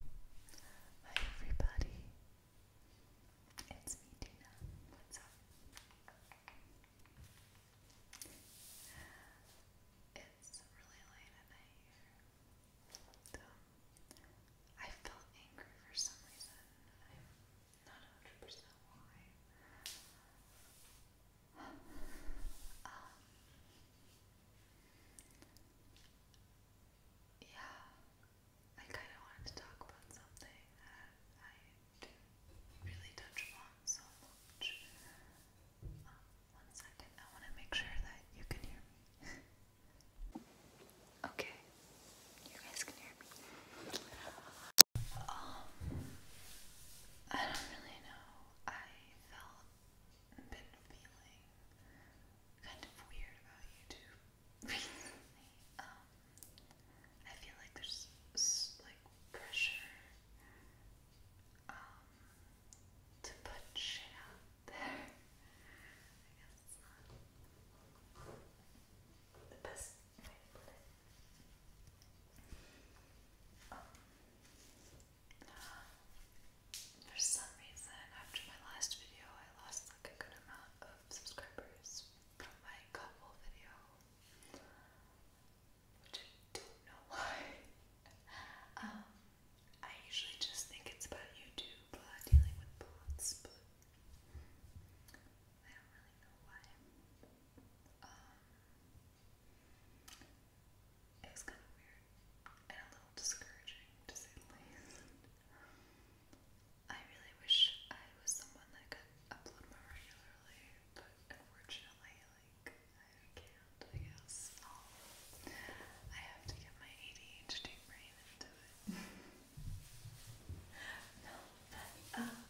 Hi everybody, it's me Dina. What's up? It's really late at night here. So, I felt angry for some reason. I'm not 100% why. Um, yeah, I kind of wanted to talk about something that I didn't really touch upon so much. Um, one second, I want to make sure that you can hear me. okay, you guys can hear me. Um, I don't really know. I felt, been feeling kind of weird about YouTube recently. Um, I feel like there's like pressure um, to put shit out there. I guess it's not the best way to put it. Um, for some reason, after my last video, I lost like a good amount of subscribers from my couple video, which I don't know why. Um, I usually just think it's about YouTube uh, dealing with bots, but I don't really know why. Um, it was kind of weird and a little discouraging to say the least. I really wish I was someone that could upload regularly, but unfortunately, like, I can't, I guess. I have to get my ADHD brain into it. no, but, um,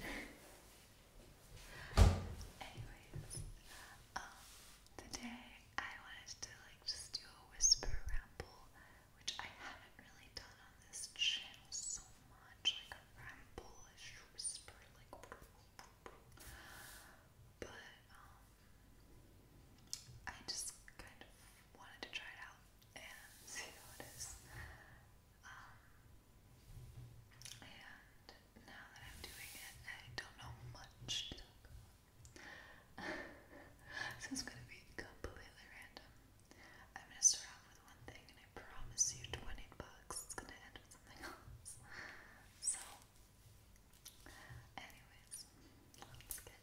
Anyways, um, today I wanted to like just do a whisper ramble, which I haven't really done on this channel so much, like a ramble-ish whisper, like but um I just kind of wanted to try it out and see how it is. Um, now that I'm doing it, I don't know much so it's gonna be completely random. I'm gonna start off with one thing and I promise you 20 bucks it's gonna end with something else. So anyways, let's get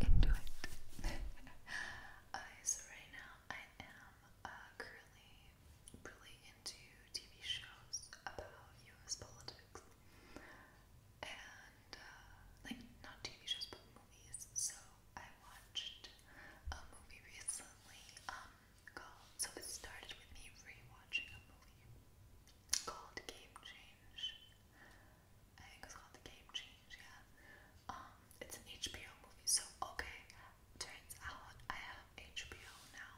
into it. uh, so right now I am uh, currently really into TV shows about US politics and uh, like not TV shows but movies. So I watched a movie recently um, called, so it started with me rewatching a movie called Game Change. I think it's called The Game Change, yeah. Um, it's an HBO movie, so okay, turns out I have HBO now.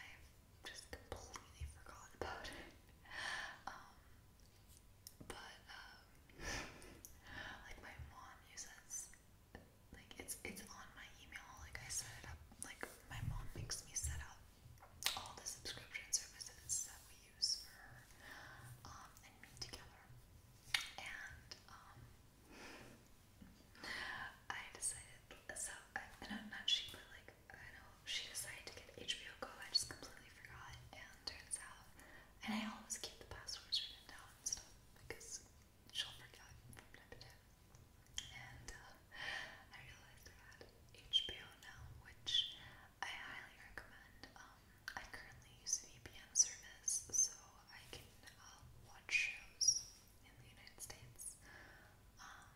I just completely forgot about it. Um, but um, like my mom uses, like it's it's on my email. Like I set up. Like my mom makes me set up all the subscription services that we use for um, and me together. And um, I decided, so I, and I'm not she, but like, I know she decided to get HBO Go. I just completely forgot, and turns out, and I always keep the passwords written down and stuff because she'll forget from time to time. And uh, I realized I had HBO now, which I highly recommend. Um, I currently use a VPN service so I can uh, watch shows in the United States. Um,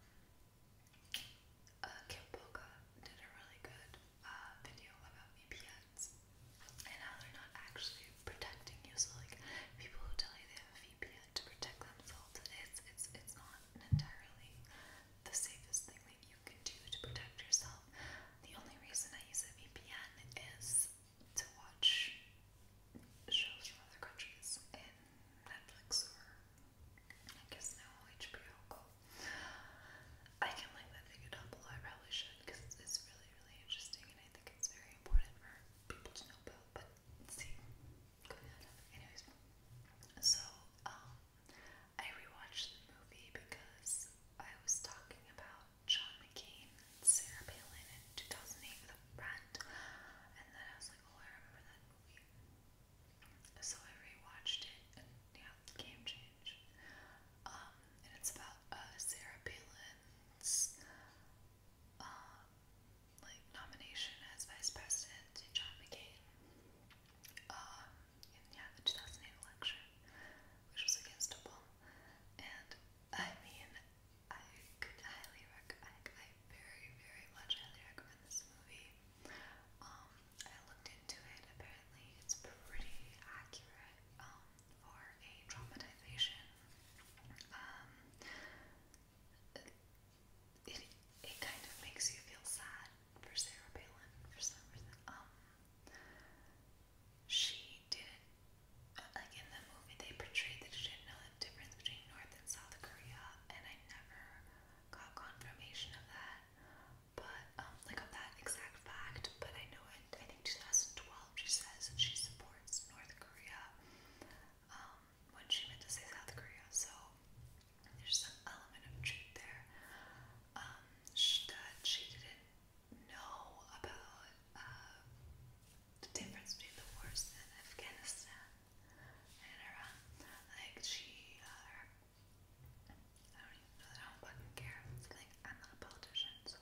uh, Kim Boca did a really good uh, video about VPNs and how they're not actually protecting you. So like people who tell you they have a VPN to protect themselves, it's it's it's not entirely the safest thing that you can do to protect yourself. The only reason I use a VPN is to watch shows from other countries in Netflix or I guess now HBO Go. I can link that video down below. I probably should because it's really, really interesting and I think it's very important for people to know about. But see, anyways, so um, I rewatched the movie because I was talking about John McCain Sarah Palin in 2008 with a and then I was like, oh, I remember that movie. So I rewatched it, and yeah, game change. Um, and it's about uh, Sarah Palin's uh, like nomination as vice president to John McCain. Um, yeah, the 2008 election, which was against Obama. And I mean, I could highly recommend. I very, very much highly recommend this movie. Um, I looked into it. Apparently, it's pretty accurate um, for a traumatization. Um, it it kind of makes you feel sad for Sarah Palin for some reason. Um, she like in the movie, they portrayed she did the difference between North and South Korea, and I never got confirmation of that, but, um, like of that exact fact, but I know in, I think 2012 she says she supports North Korea, um, when she meant to say South Korea, so there's some element of truth there, um, she, that she did know about uh, the difference between the wars in Afghanistan and Iran. Like she, uh, I don't even know that I don't fucking care. Like I'm not a politician, so.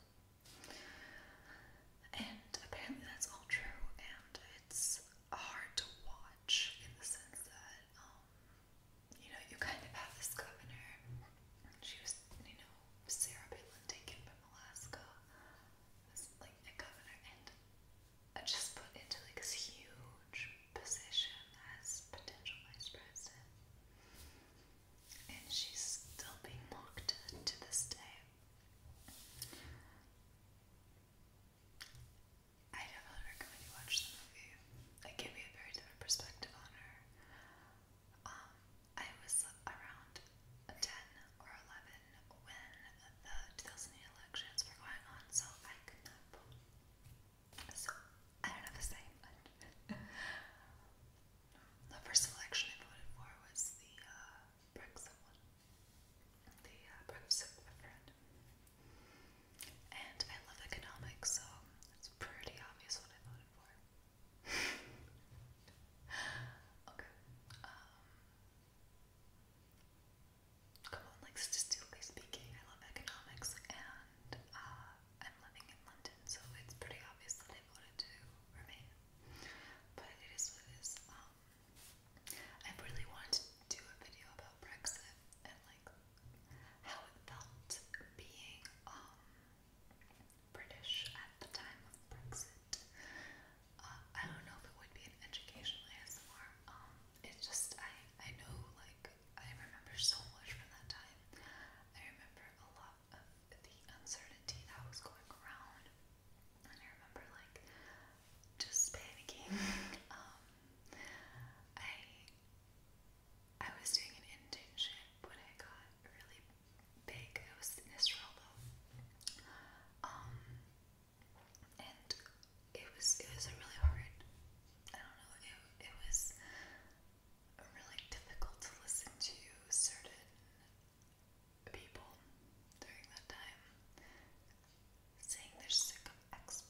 And apparently that's all true, and it's hard to watch in the sense that, um, you know, you kind of have this governor. And she was, you know, Sarah Palin taken from Alaska. like a governor and I just put into like this huge position as potential vice president. And she's still being mocked to this day. I definitely recommend you watch the movie. I give you a very different perspective on her. Um, I was around 10 or 11 when the 2008 elections were going on, so I could not vote. So I don't have a say. the first election I voted for was the uh, Brexit one, the uh, Brexit referendum. And I love economics, so it's pretty obvious what I voted for okay. Um, come on, like statistically speaking, I love economics, and uh, I'm living in London, so it's pretty obvious that I voted to remain. But it is what it is. Um, I really wanted to do a video about Brexit and like how it felt being um, British at the time of Brexit. Uh, I don't know if it would be an educational ASMR. Um, it's just I I know like I remember so much from that time. I remember a lot of the uncertainty that was going around, and I remember like just panicking. Um, I I was doing an internship when I got really big. It was this rollo, um, and it was it was a really hard. I don't know. It it was really difficult to listen to certain people during that time saying they're sick of experts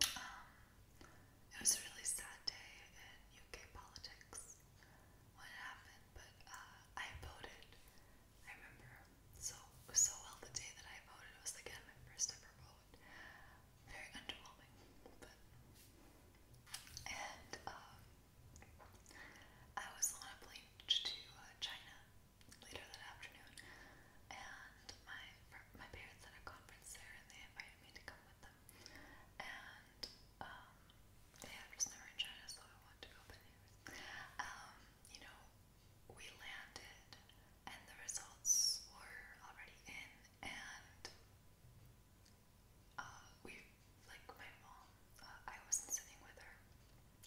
it was a really sad day in UK politics when it happened, but uh, I voted. I remember so so well the day that I voted. It was again my first ever vote. Very underwhelming, but and um, I was on a plane to uh, China later that afternoon, and my my parents had a conference there, and they invited me to come with them and um, yeah, I was never in so I wanted to go, but anyways, um, you know, we landed, and the results were already in, and uh, we, like, my mom, uh, I wasn't sitting with her.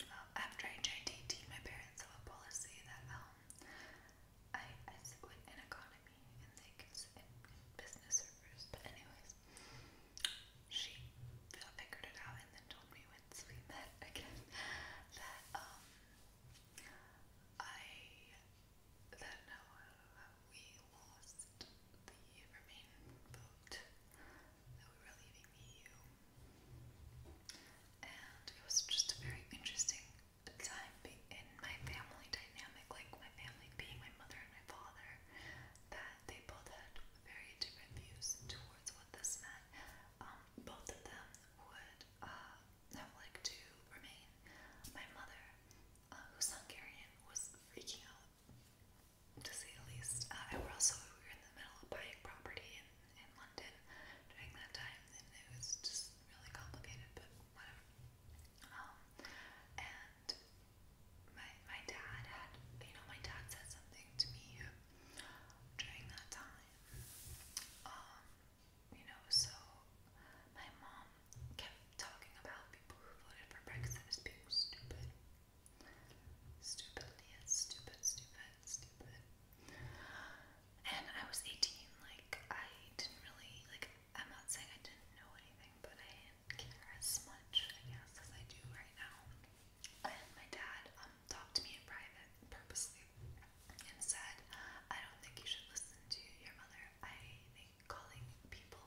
Uh, after I joined AT, my parents have a policy that um, I, I split in economy and like in business servers, but anyways, she figured it out and then told me once we met again that um I that no we lost the remain vote that we were leaving EU, and it was just a very interesting time in my family dynamic, like my family being my mother and my father, that they both had very different views towards what this meant. Um, both of them would uh, have to remain. My mother, uh, who's Hungarian, was freaking out, to say the least. And uh, we're also we were in the middle of buying property in, in London during that time, and it was just really complicated, but whatever. Um, and my my dad had, you know, my dad said something to me uh, during that time. Um, you know, so my mom kept talking about people who voted for Brexit as stupid. Stupid idiots, stupid, stupid, stupid and I was 18, like, I didn't really, like, I'm not saying I didn't know anything, but I didn't care as much, I guess, as I do right now. And my dad um, talked to me in private purposely and said, I don't think you should listen to your mother. I think calling people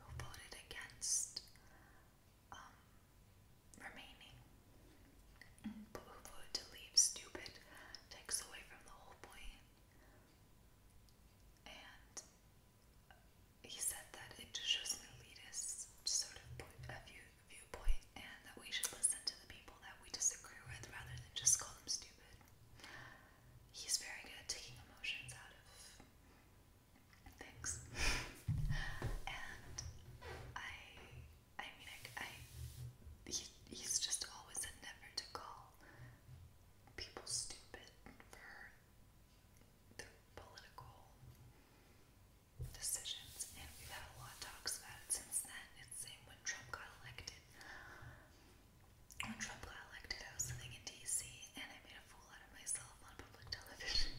who voted against um, remaining, who voted to leave, stupid takes away from the whole point and he said that it just shows an elitist sort of point, a view, viewpoint, and that we should listen to the people that we disagree with rather than just call them stupid. He's very good at taking emotions out of things, and I, I mean, I, he's just always never to call people stupid for their political decisions, and we've had a lot of talks about it since then. It's same when Trump got elected. When Trump got elected, I was living in D.C. and I made a fool out of myself on public television.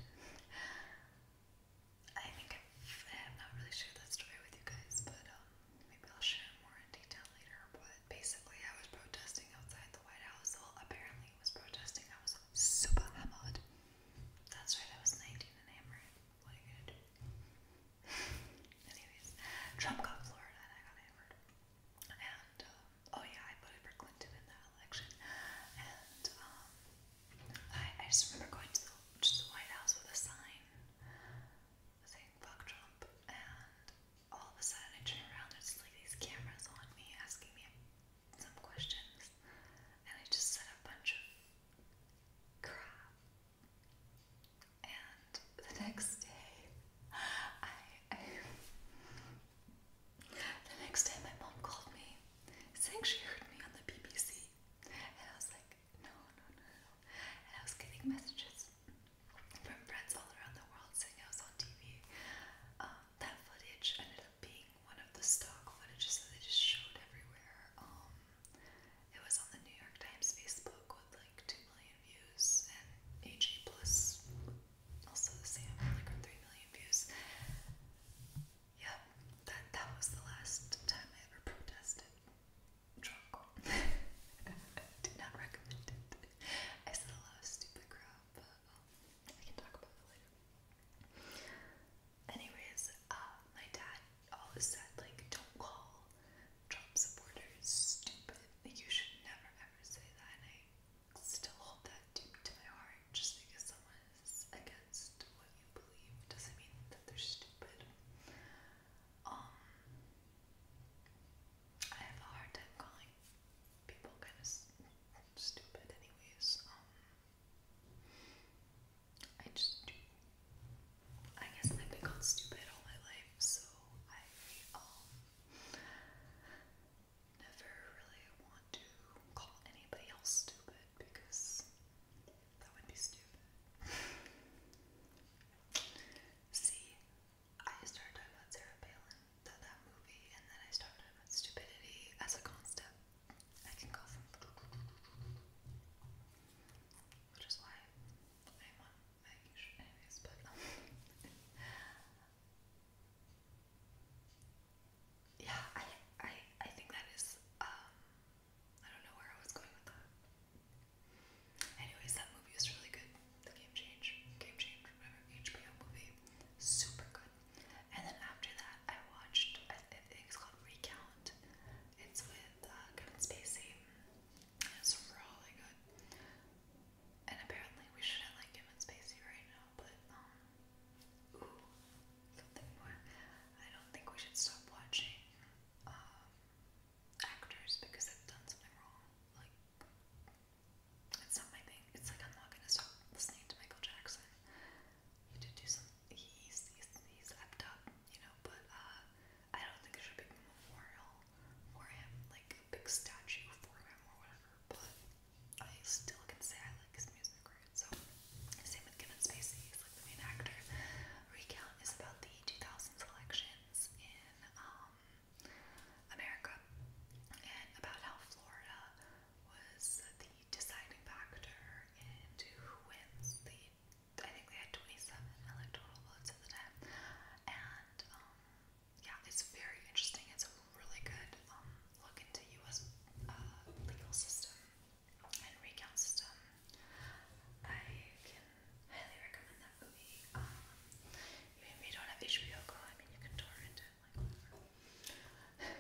I think I'm, not really shared that story with you guys, but um, Maybe I'll share more in detail later, but basically I was protesting outside the White House. Well, apparently was protesting. I was super hammered. That's right, I was 19 and hammered. What are you gonna do? Anyways, Trump got Florida and I got hammered. And, um, oh yeah, I voted for Clinton in that election. And, um, I, I just remember going to the, to the White House with a sign saying fuck Trump, and all of a sudden I turn around, there's like these cameras on me asking me some questions, and I just said a bunch of crap. And the next day, I, I the next day my mom called me saying she heard me on the BBC, and I was like, no, no, no, And I was getting messages from friends all around the world saying I was on TV. Um, that footage ended up being one of the stock footages that they just showed everywhere. Um, it was on the New York Times Facebook with like 2 million views and AJ Plus also the same, like 3 million views. Yep, that, that was the last time I ever protested. Drunk. Do not recommend it. I still love stupid crap, but um, I can talk about it later. Anyways, uh, my dad always said, like, don't call Trump supporters stupid. Like, you should never ever say that. And I still hold that deep to my heart. Just because someone is against what you believe doesn't mean that they're stupid. Um, I have a hard time calling people kind of stupid, anyways. Um, I just I guess I've been called stupid all my life, so I um, never really want to call anybody else stupid because that would be stupid. See, I started talking about Sarah Palin, that, that movie, and then I started about stupidity as a concept. I can go from which is why I'm on my um, Yeah, I I I think that is um, I don't know where I was going with that. Anyways, that movie was really good. The Game Change, Game Change, whatever HBO movie, super good. And then after that, I watched. I think called Recount. It's with uh, Kevin Spacey. it's really good. And apparently, we shouldn't like Kevin Spacey right now, but um, ooh, something more. I don't think we should stop watching um, actors because they've done something wrong. Like, it's not my thing. It's like I'm not gonna stop listening to Michael Jackson. He did do some. He's he's he's leapt up, you know. But uh, I don't think it should be a memorial for him, like a big statue for him or whatever. But I still can say I like his music, so, same with Kevin Spacey, he's like the main actor. Recount is about the 2000s elections in um, America and about how Florida was the deciding factor into who wins the. I think they had 27 electoral votes at the time, and um, yeah, it's very interesting. It's a really good um, look into U.S. Uh, legal system and recount system. I can highly recommend that movie. Um, even don't have HBO Go, I mean, you can torrent it, like whatever.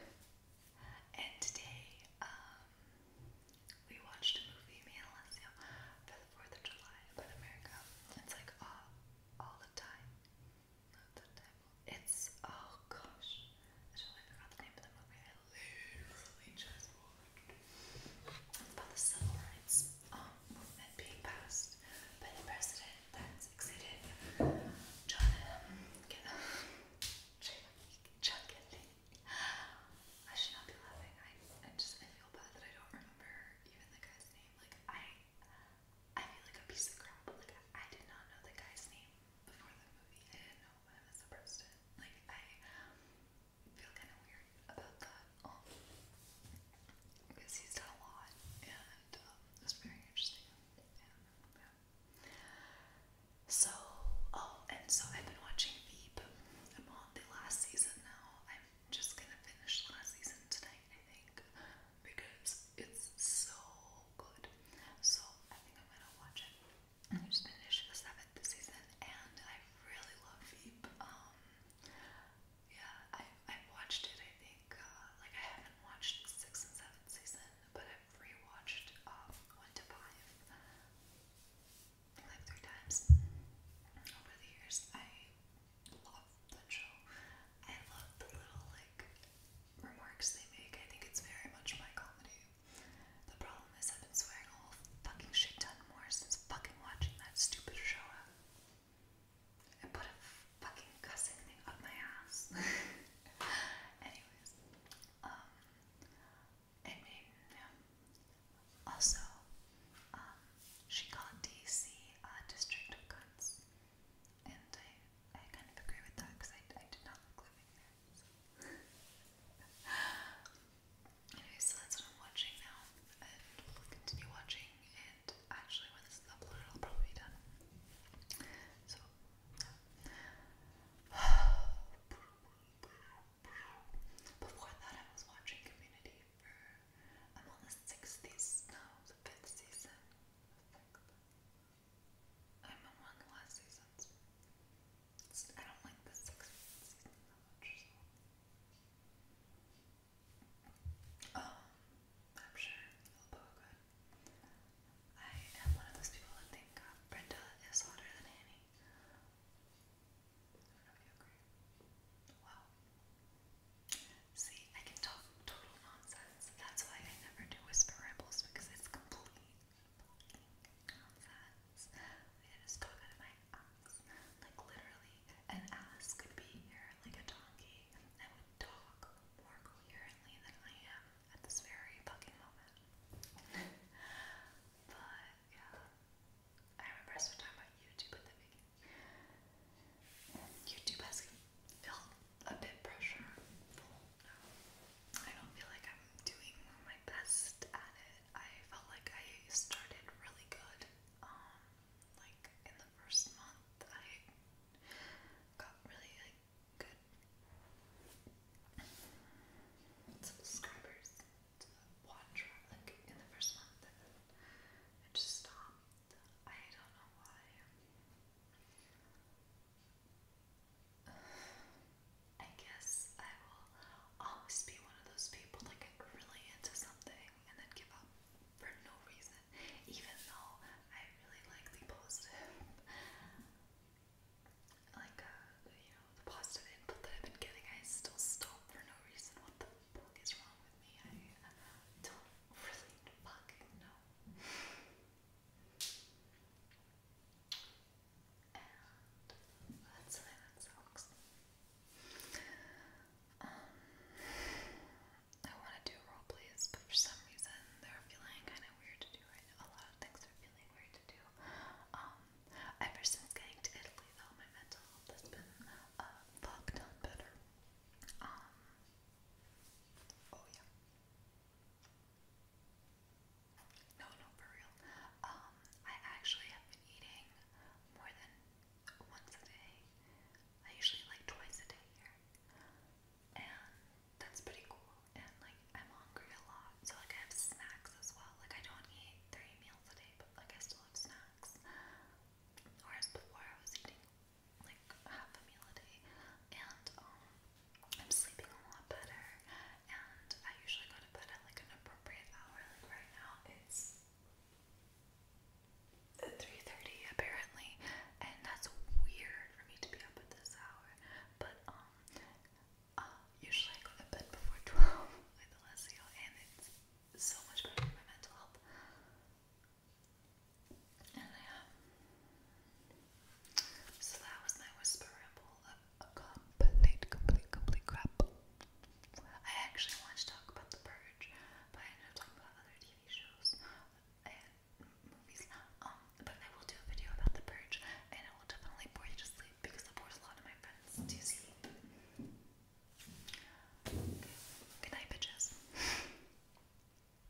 and today, um, we watched a movie, me for the 4th of July about America. It's like all, all the time. Not the time. It's, oh gosh. I totally forgot the name of the movie literally just about the civil rights um, movement being passed by the president that succeeded John um, John Kennedy. I should not be laughing. I, just I feel bad that I don't remember even the guy's name. Like I I feel like a piece of crap. Like I did not know the guy's name before the movie. I was the president. Like, I feel kind of weird about that. Um, because he's done a lot, and um, it's very interesting. So, oh, and so I've been watching Veep. I'm on the last season now. I'm just gonna finish the last season tonight, I think, because it's so good. So I think I'm gonna watch it. I just finished the seventh season, and I really love Veep. Um, yeah, I I've watched it. I think uh, like I haven't watched six and seven season, but I've rewatched um, one to five like three times over the years. I love that show. I love the little like remarks they make. I think it's very much my comedy the problem is I've been swearing all whole fucking shit ton more since fucking watching that stupid show up. I put a fucking cussing thing up my ass. Anyways, um, I yeah. Also, um, she called DC a uh, district of guns. And I, I kind of agree with that because I, I did not like living there eyes. anyway, so that's what I'm watching now, and we'll continue watching. And actually, when this is uploaded, I'll probably be done. So, Before that, I was watching Community I'm on the sixth season, no, the fifth season. I'm on one of the last seasons. I don't like the sixth season that much, Oh, I'm sure it'll good. I am one of those people that think uh, Brenda is hotter than Annie. I don't know if you agree. Wow. See, I can talk total nonsense. That's why I never do whisper rambles because it's complete nonsense. It is stuck out of my ass. Like literally, an ass could be here like a donkey and would talk more coherently than I am at this very fucking moment. but yeah. I remember us talking about YouTube at the YouTube has felt a bit pressure I don't feel like I'm doing my best at it. I felt like I started really good. Um, like in the first month, I got really like good subscribers like in the first month, and it just stopped. I don't know why. I guess I will always be one of those people that get really into something and then give up for no reason, even though I really like the positive, like uh, you know, the positive input that I've been getting. I still stop for no reason. What the fuck is wrong with me? I don't really fucking know. And that's uh, um, I want to do role plays, but for some reason they're feeling kind of weird to do A lot of things are feeling weird to do. Um, ever since getting to Italy, though, my mental health has been uh, fucked up better. Um, oh yeah. No, no, for real. Um, I actually have been eating more than once a day. I usually like twice a day here. And that's pretty cool. And like I'm hungry a lot. So like I have snacks as well. Like I don't eat three meals a day, but like I still have snacks. Whereas before I was eating like half a meal a day, and um, I'm sleeping a lot better. And I usually go to bed at like an appropriate hour. Like right now, it's three thirty apparently, and that's weird for me to be up at this hour. But um, uh, usually I go to bed before twelve with Alessio, and it's so much better for my mental health. And So that was my whisper complete, complete, complete crap. I actually wanted to talk about The Purge, but I ended talking about other TV shows and movies. Um, but I will do a video about The Purge, and it will definitely bore you to sleep because it bores a lot of my friends to sleep. Good night, bitches.